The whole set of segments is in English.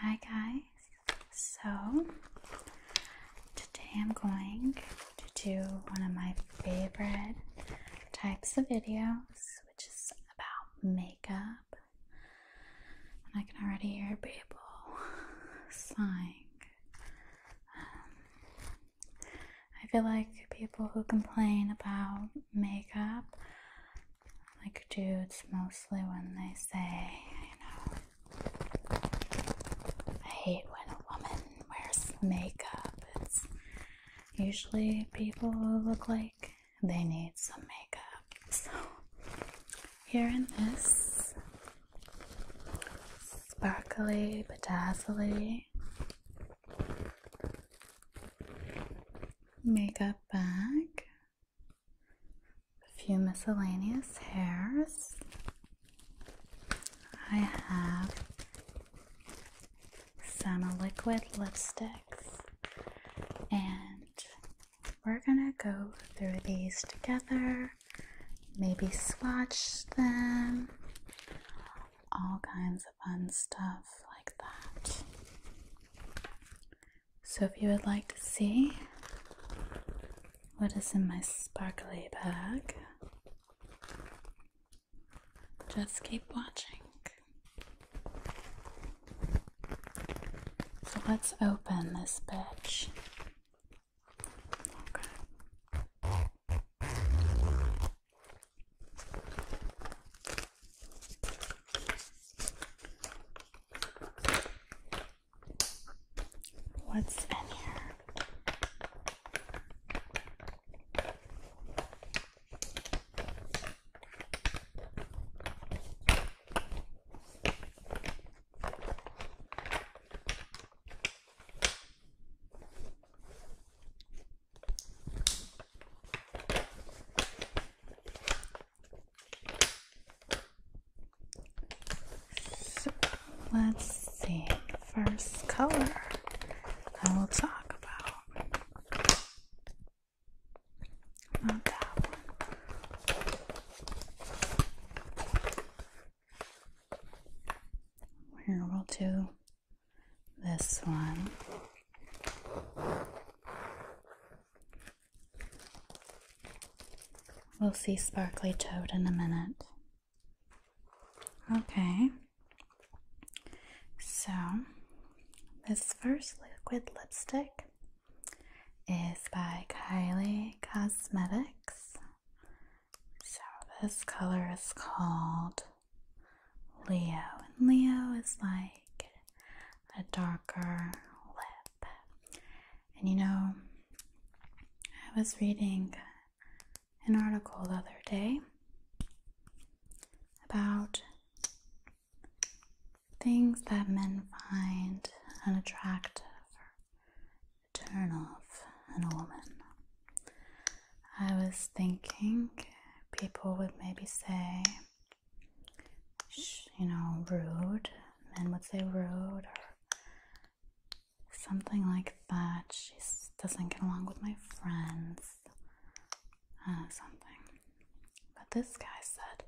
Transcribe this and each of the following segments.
Hi guys. So today I'm going to do one of my favorite types of videos, which is about makeup. And I can already hear people sighing. Um, I feel like people who complain about makeup like dudes mostly when they say, you know, I hate when a woman wears makeup. It's usually people who look like they need some makeup. So, here in this sparkly, bedazzly makeup bag, a few miscellaneous hairs. I have some liquid lipsticks, and we're gonna go through these together, maybe swatch them, all kinds of fun stuff like that. So, if you would like to see what is in my sparkly bag, just keep watching. So, let's open this bitch. Okay. What's in here? So let's see. First color and we will talk about. Not that one. Here we'll do this one. We'll see Sparkly Toad in a minute. Okay, so this first liquid lipstick is by Kylie Cosmetics. So this color is called Leo, and Leo is like a darker lip. And you know, I was reading an article the other day about things that men find unattractive or turn off in a woman. I was thinking people would maybe say you know, rude. Men would say rude or something like that. She doesn't get along with my friends, uh, something. But this guy said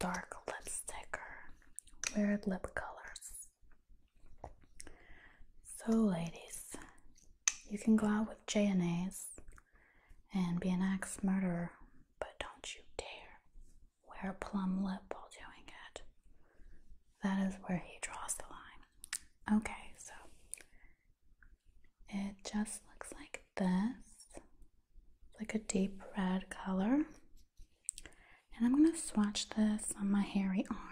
dark lipstick or weird lip colors. So, ladies, you can go out with J and A's and be an axe murderer, but don't you dare wear a plum lip while doing it. That is where he draws the line. Okay, so it just looks like this, like a deep red color. And I'm going to swatch this on my hairy arm.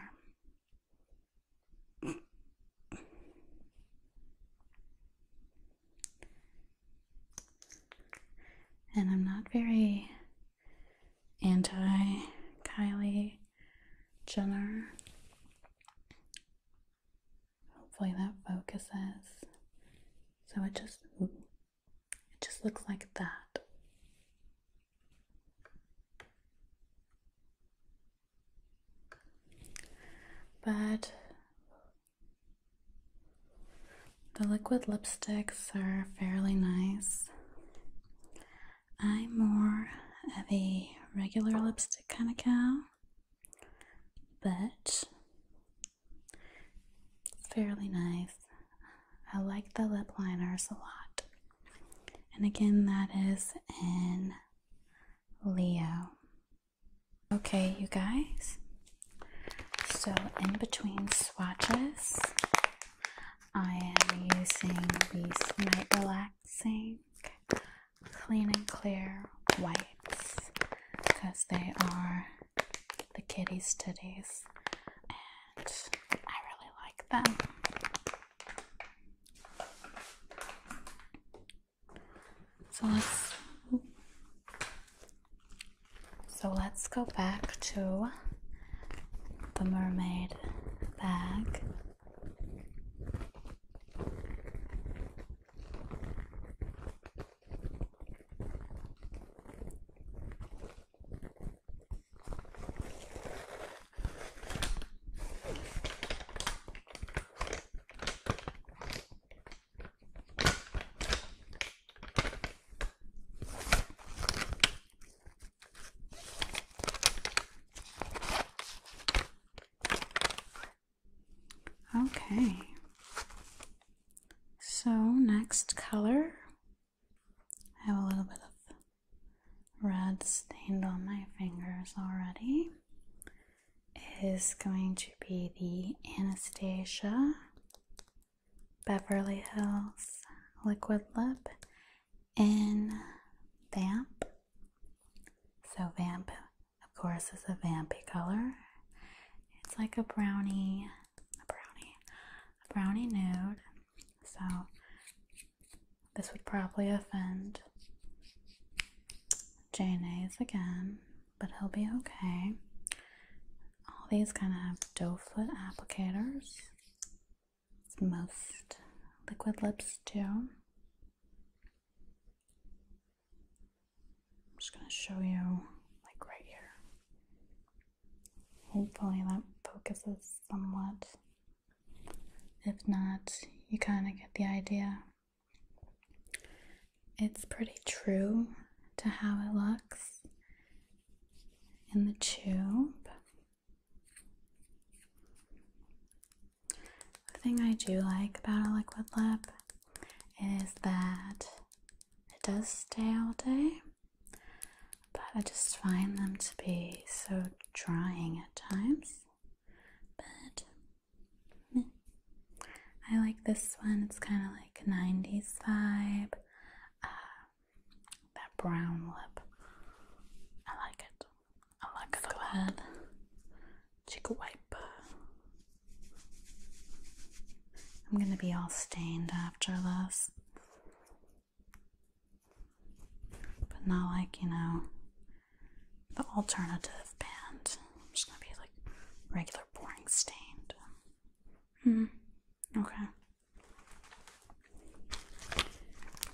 And I'm not very anti Kylie Jenner. Hopefully that focuses. So it just it just looks like that. But the liquid lipsticks are fairly nice. I'm more of a regular lipstick kind of gal, but fairly nice. I like the lip liners a lot. And again, that is in Leo. Okay, you guys. So, in between swatches, I am using these Night Relaxing Clean and Clear whites because they are the kitties' titties, and I really like them. So let's so let's go back to the mermaid bag. Okay. So, next color, I have a little bit of red stained on my fingers already is going to be the Anastasia Beverly Hills Liquid Lip in Vamp. So, Vamp, of course, is a vampy color. It's like a brownie, a brownie, a brownie nude. So, this would probably offend Jane again, but he'll be okay. All these kind of have doe foot applicators. Most liquid lips do. I'm just gonna show you like right here. Hopefully that focuses somewhat. If not, you kind of get the idea. It's pretty true to how it looks in the tube. The thing I do like about a liquid lip is that it does stay all day, but I just find them to be so drying at times. But I like this one. It's kind of like 90s vibe. Uh, that brown lip. I like it. I like it's it a lot. wipe. I'm gonna be all stained after this. But not like, you know, the alternative band. I'm just gonna be like regular, boring, stained. Hmm. Okay.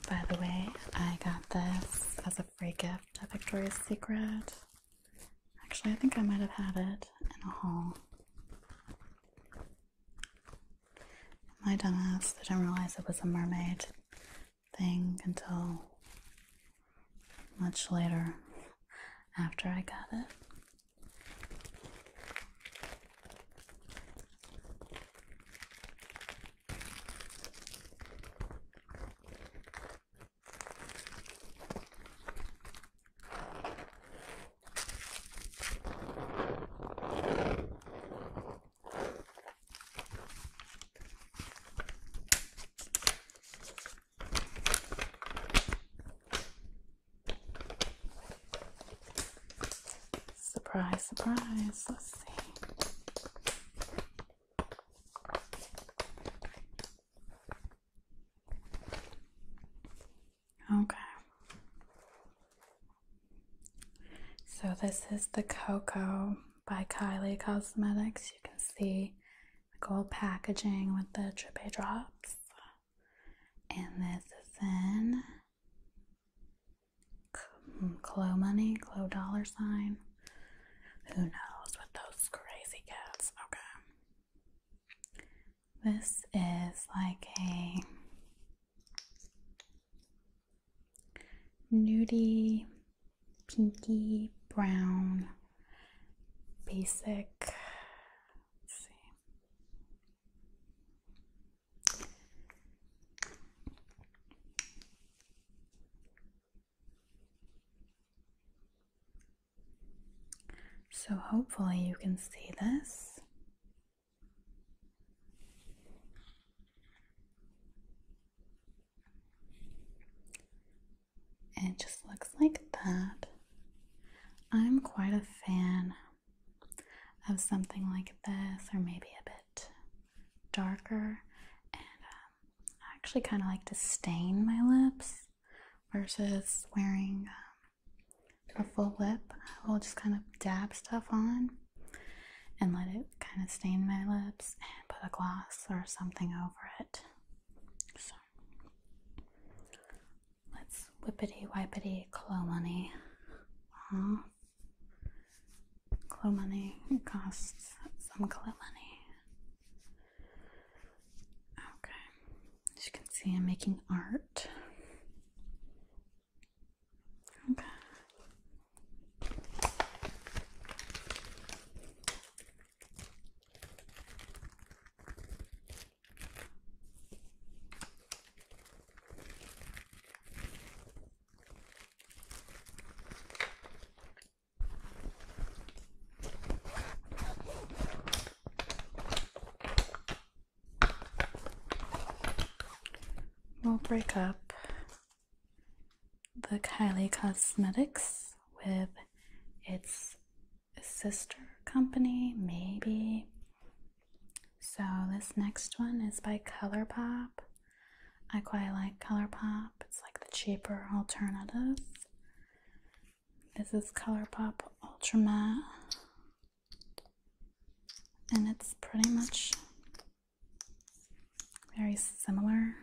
By the way, I got this as a free gift at Victoria's Secret. Actually, I think I might have had it in a haul. My dumbass I didn't realize it was a mermaid thing until much later after I got it. Surprise, surprise. Let's see. Okay. So this is the Coco by Kylie Cosmetics. You can see like all packaging with the tripe drops. And this is in Clo Money, Clo Dollar Sign. Who knows with those crazy cats? Okay. This is like a nudie, pinky, brown basic. So, hopefully, you can see this. It just looks like that. I'm quite a fan of something like this, or maybe a bit darker. And um, I actually kind of like to stain my lips versus wearing um, a full lip. I will just kind of dab stuff on and let it kind of stain my lips and put a gloss or something over it let's whippity wipity clo money off. Clo money costs some clo money. Okay, as you can see, I'm making art. Okay. We'll break up the Kylie Cosmetics with its sister company, maybe. So this next one is by ColourPop. I quite like ColourPop. It's like the cheaper alternative. This is ColourPop Ultra Matte. And it's pretty much very similar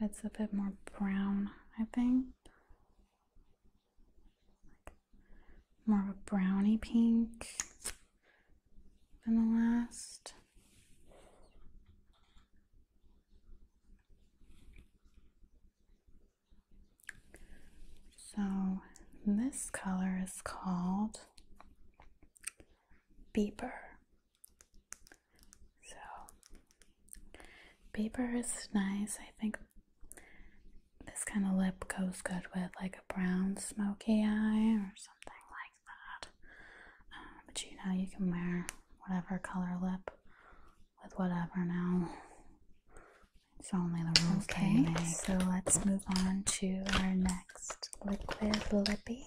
it's a bit more brown, I think. more of a brownie pink than the last. So this color is called Beeper. So, paper is nice. I think this kind of lip goes good with like a brown smoky eye or something like that. Um, but you know, you can wear whatever color lip with whatever now. It's only the rules okay, so let's move on to our next liquid lippy.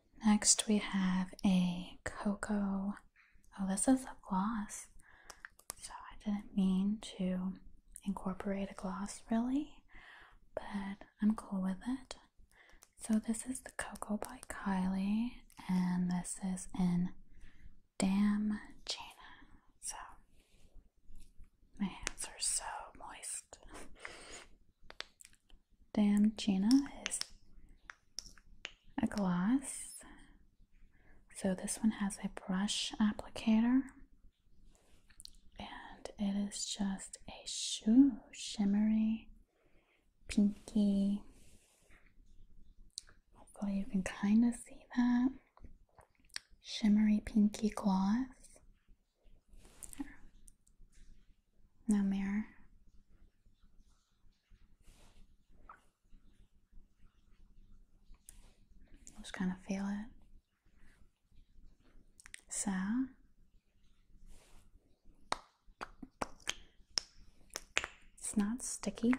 Next, we have a Cocoa. Oh, this is a gloss. So, I didn't mean to incorporate a gloss really, but I'm cool with it. So, this is the Cocoa by Kylie, and this is in Damn Gina. So, my hands are so moist. Gina is a glass. So this one has a brush applicator. And it is just a shoo shimmery, pinky. Hopefully you can kind of see that. Shimmery pinky gloss. No mirror. Just kind of feel it. So, it's not sticky.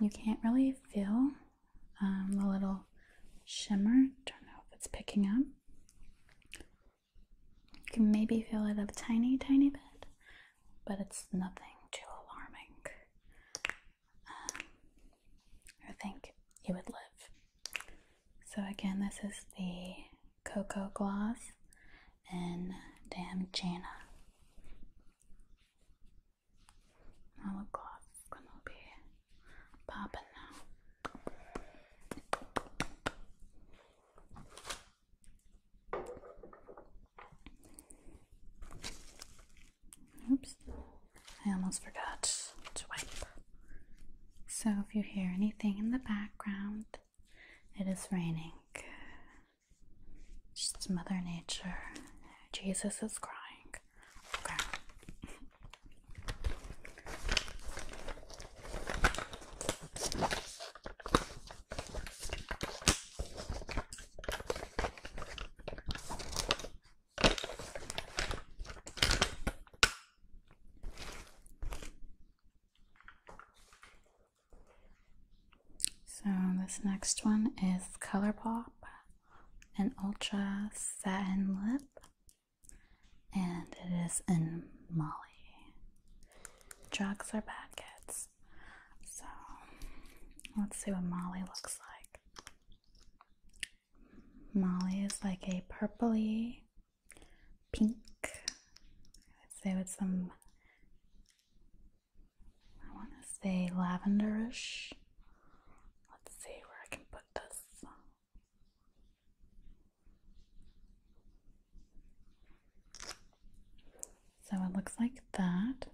You can't really feel um, the little shimmer. Don't know if it's picking up. You can maybe feel it a tiny, tiny bit, but it's nothing too alarming. Um, I think you would live. So, again, this is the Cocoa Gloss in Damjana. Now, gloss going to be popping now? Oops, I almost forgot to wipe. So, if you hear anything in the background, it is raining. Just Mother Nature. Jesus is crying. So, this next one is Colourpop, an Ultra Satin Lip and it is in Molly. Drugs are bad kids. So let's see what Molly looks like. Molly is like a purpley pink. I'd say with some I wanna say lavenderish. Let's see where I can put this. So it looks like that.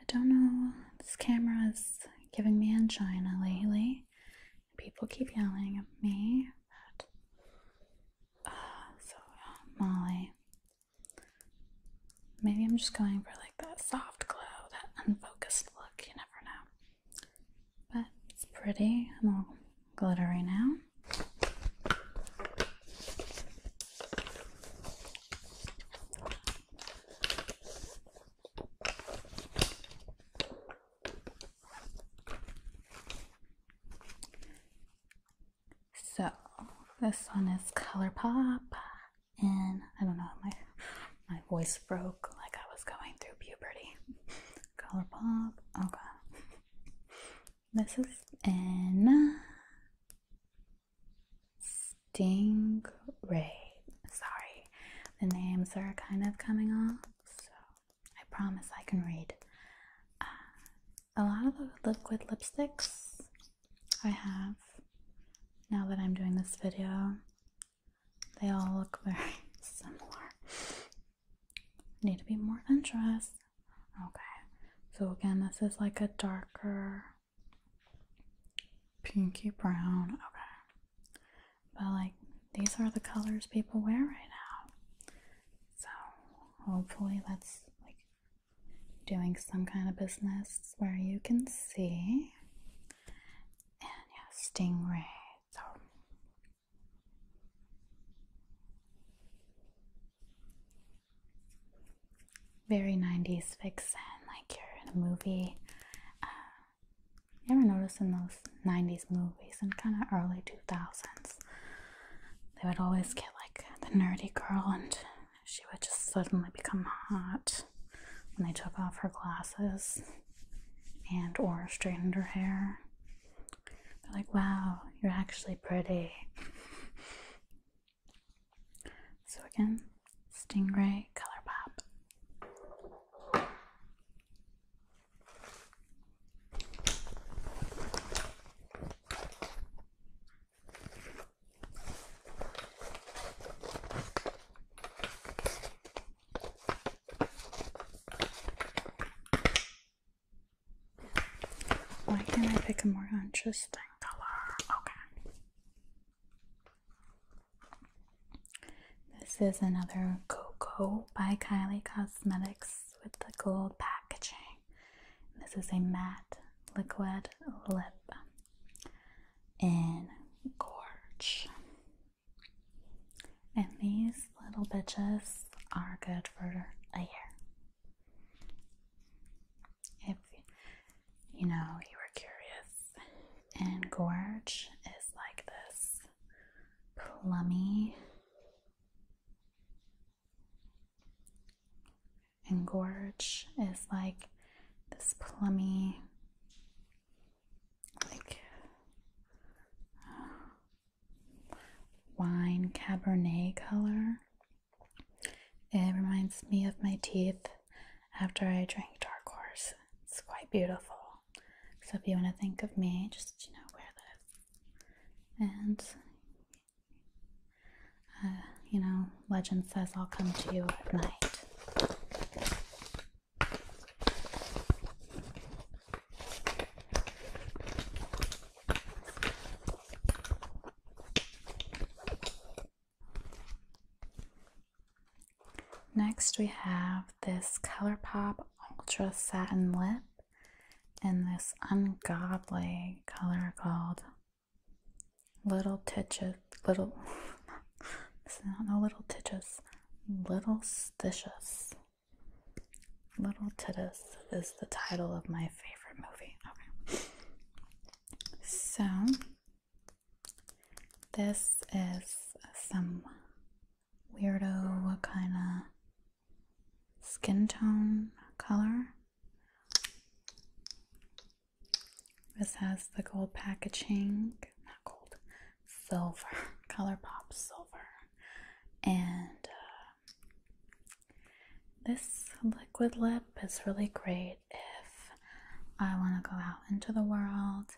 I don't know, this camera is giving me angina lately. People keep yelling at me ah, so, oh, Molly. Maybe I'm just going for like that soft glow, that unfocused look, you never know. But it's pretty. I'm all glittery now. So, this one is ColourPop, and I don't know, my my voice broke like I was going through puberty. Color pop. Oh This is in Stingray. Sorry, the names are kind of coming off, so I promise I can read. Uh, a lot of the liquid lipsticks I have now that I'm doing this video they all look very similar. Need to be more interesting. Okay, so again, this is like a darker pinky brown. Okay, but like these are the colors people wear right now. So hopefully, that's like doing some kind of business where you can see. And yeah, stingray so very 90s vixen, like you're in a movie. Uh, you ever notice in those 90s movies and kind of early 2000s, they would always get like the nerdy girl and she would just suddenly become hot when they took off her glasses and or straightened her hair. They're like, wow, you're actually pretty. So again, Stingray Color Pop. Why can't I pick a more interesting color? Okay. This is another Coco by Kylie Cosmetics with the gold packaging. This is a matte liquid lip in Gorge. And these little bitches are good for a year. If you know you were curious. And Gorge is like this plummy. And Gorge is like this plummy like uh, wine cabernet color. It reminds me of my teeth after I drank dark horse. It's quite beautiful. So if you want to think of me, just you know wear this. And uh, you know, legend says I'll come to you at night. Next, we have this ColourPop Ultra Satin Lip in this ungodly color called Little Titches, Little, this is not no little titches. Little Stitches. Little Titus is the title of my favorite movie. Okay. So, this is some weirdo What kind of skin tone color. This has the gold packaging, not gold, silver, ColourPop silver, and uh, this liquid lip is really great if I want to go out into the world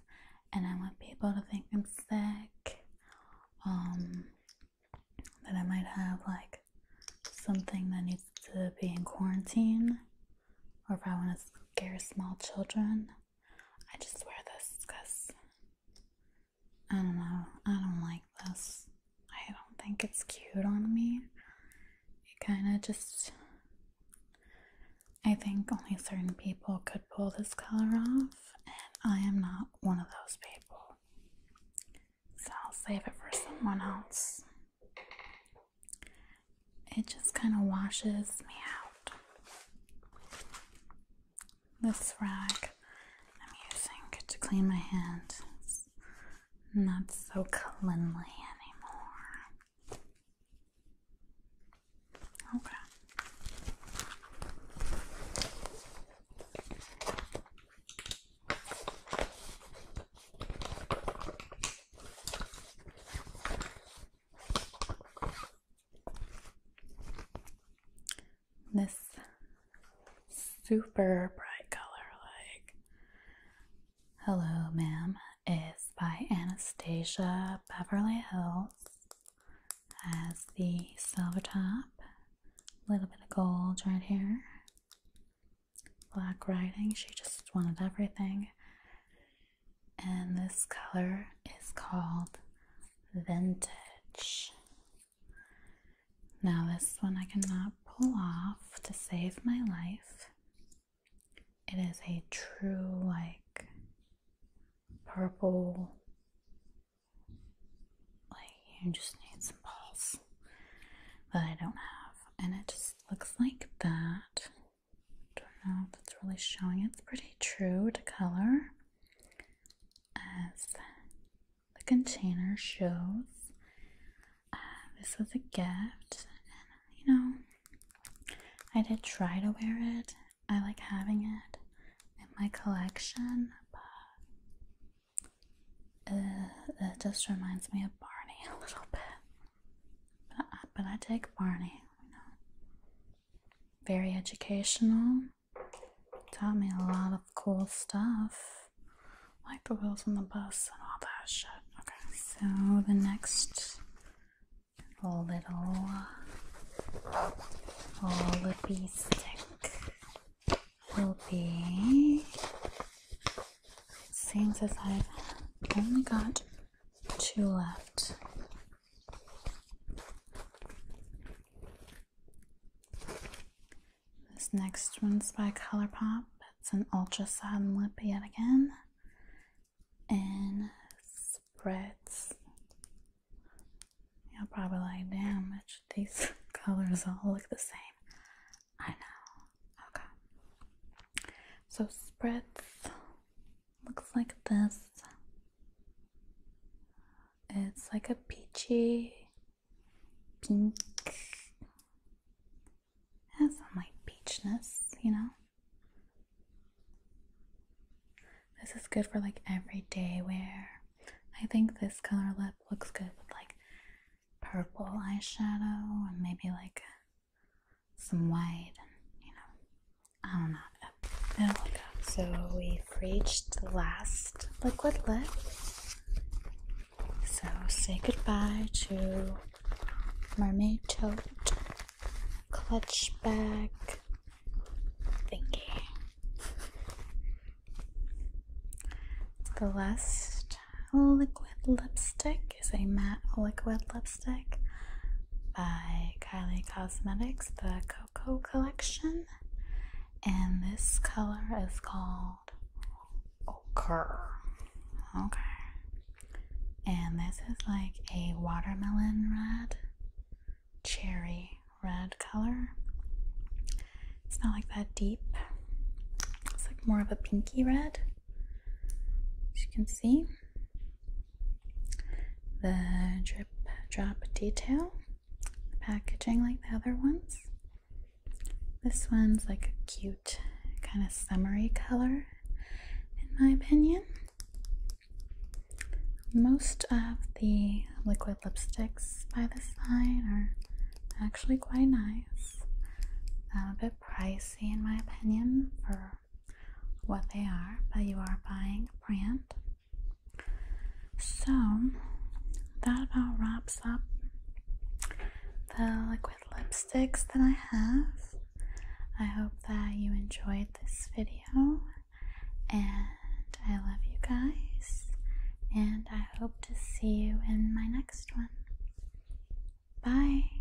and I want people to think I'm sick, um, that I might have like something that needs to be in quarantine, or if I want to scare small children. I just wear this because I don't know. I don't like this. I don't think it's cute on me. It kind of just. I think only certain people could pull this color off, and I am not one of those people. So I'll save it for someone else it just kind of washes me out. This rag I'm using to clean my hand not so cleanly anymore. Okay. This super bright color, like Hello, Ma'am, is by Anastasia Beverly Hills. Has the silver top, a little bit of gold right here, black writing. She just wanted everything and this color is called Vintage. Now, this one I cannot pull off to save my life. It is a true, like, purple. Like, you just need some balls that I don't have. And it just looks like that don't know if it's really showing. It's pretty true to color, as the container shows. Uh, this was a gift, and you know, I did try to wear it. I like having it in my collection, but uh, it just reminds me of Barney a little bit. But, I take Barney, Very educational. Taught me a lot of cool stuff. Like the wheels on the bus and all that shit. Okay, so the next little Olipy stick will be It seems as I've only got two left. This next one's by ColourPop. It's an ultra lip yet again. And spreads. You'll probably like, damn, much these colors all look the same. I know. Okay. So spreads Looks like this. It's like a peachy pink. Has some like peachness, you know. This is good for like everyday wear. I think this color lip looks good with like purple eyeshadow and maybe like some white and you know I don't know So we've reached the last liquid lip. So say goodbye to mermaid tote clutch bag thingy. The last liquid lipstick is a matte liquid lipstick by Kylie Cosmetics, the Cocoa Collection. And this color is called Ochre. Okay. And this is like a watermelon red, cherry red color. It's not like that deep. It's like more of a pinky red, as you can see the drip drop detail, packaging like the other ones. This one's like a cute kind of summery color, in my opinion. Most of the liquid lipsticks by this line are actually quite nice. Um, a bit pricey, in my opinion, for what they are, but you are buying a brand. So that about wraps up the liquid lipsticks that I have. I hope that you enjoyed this video and I love you guys and I hope to see you in my next one. Bye!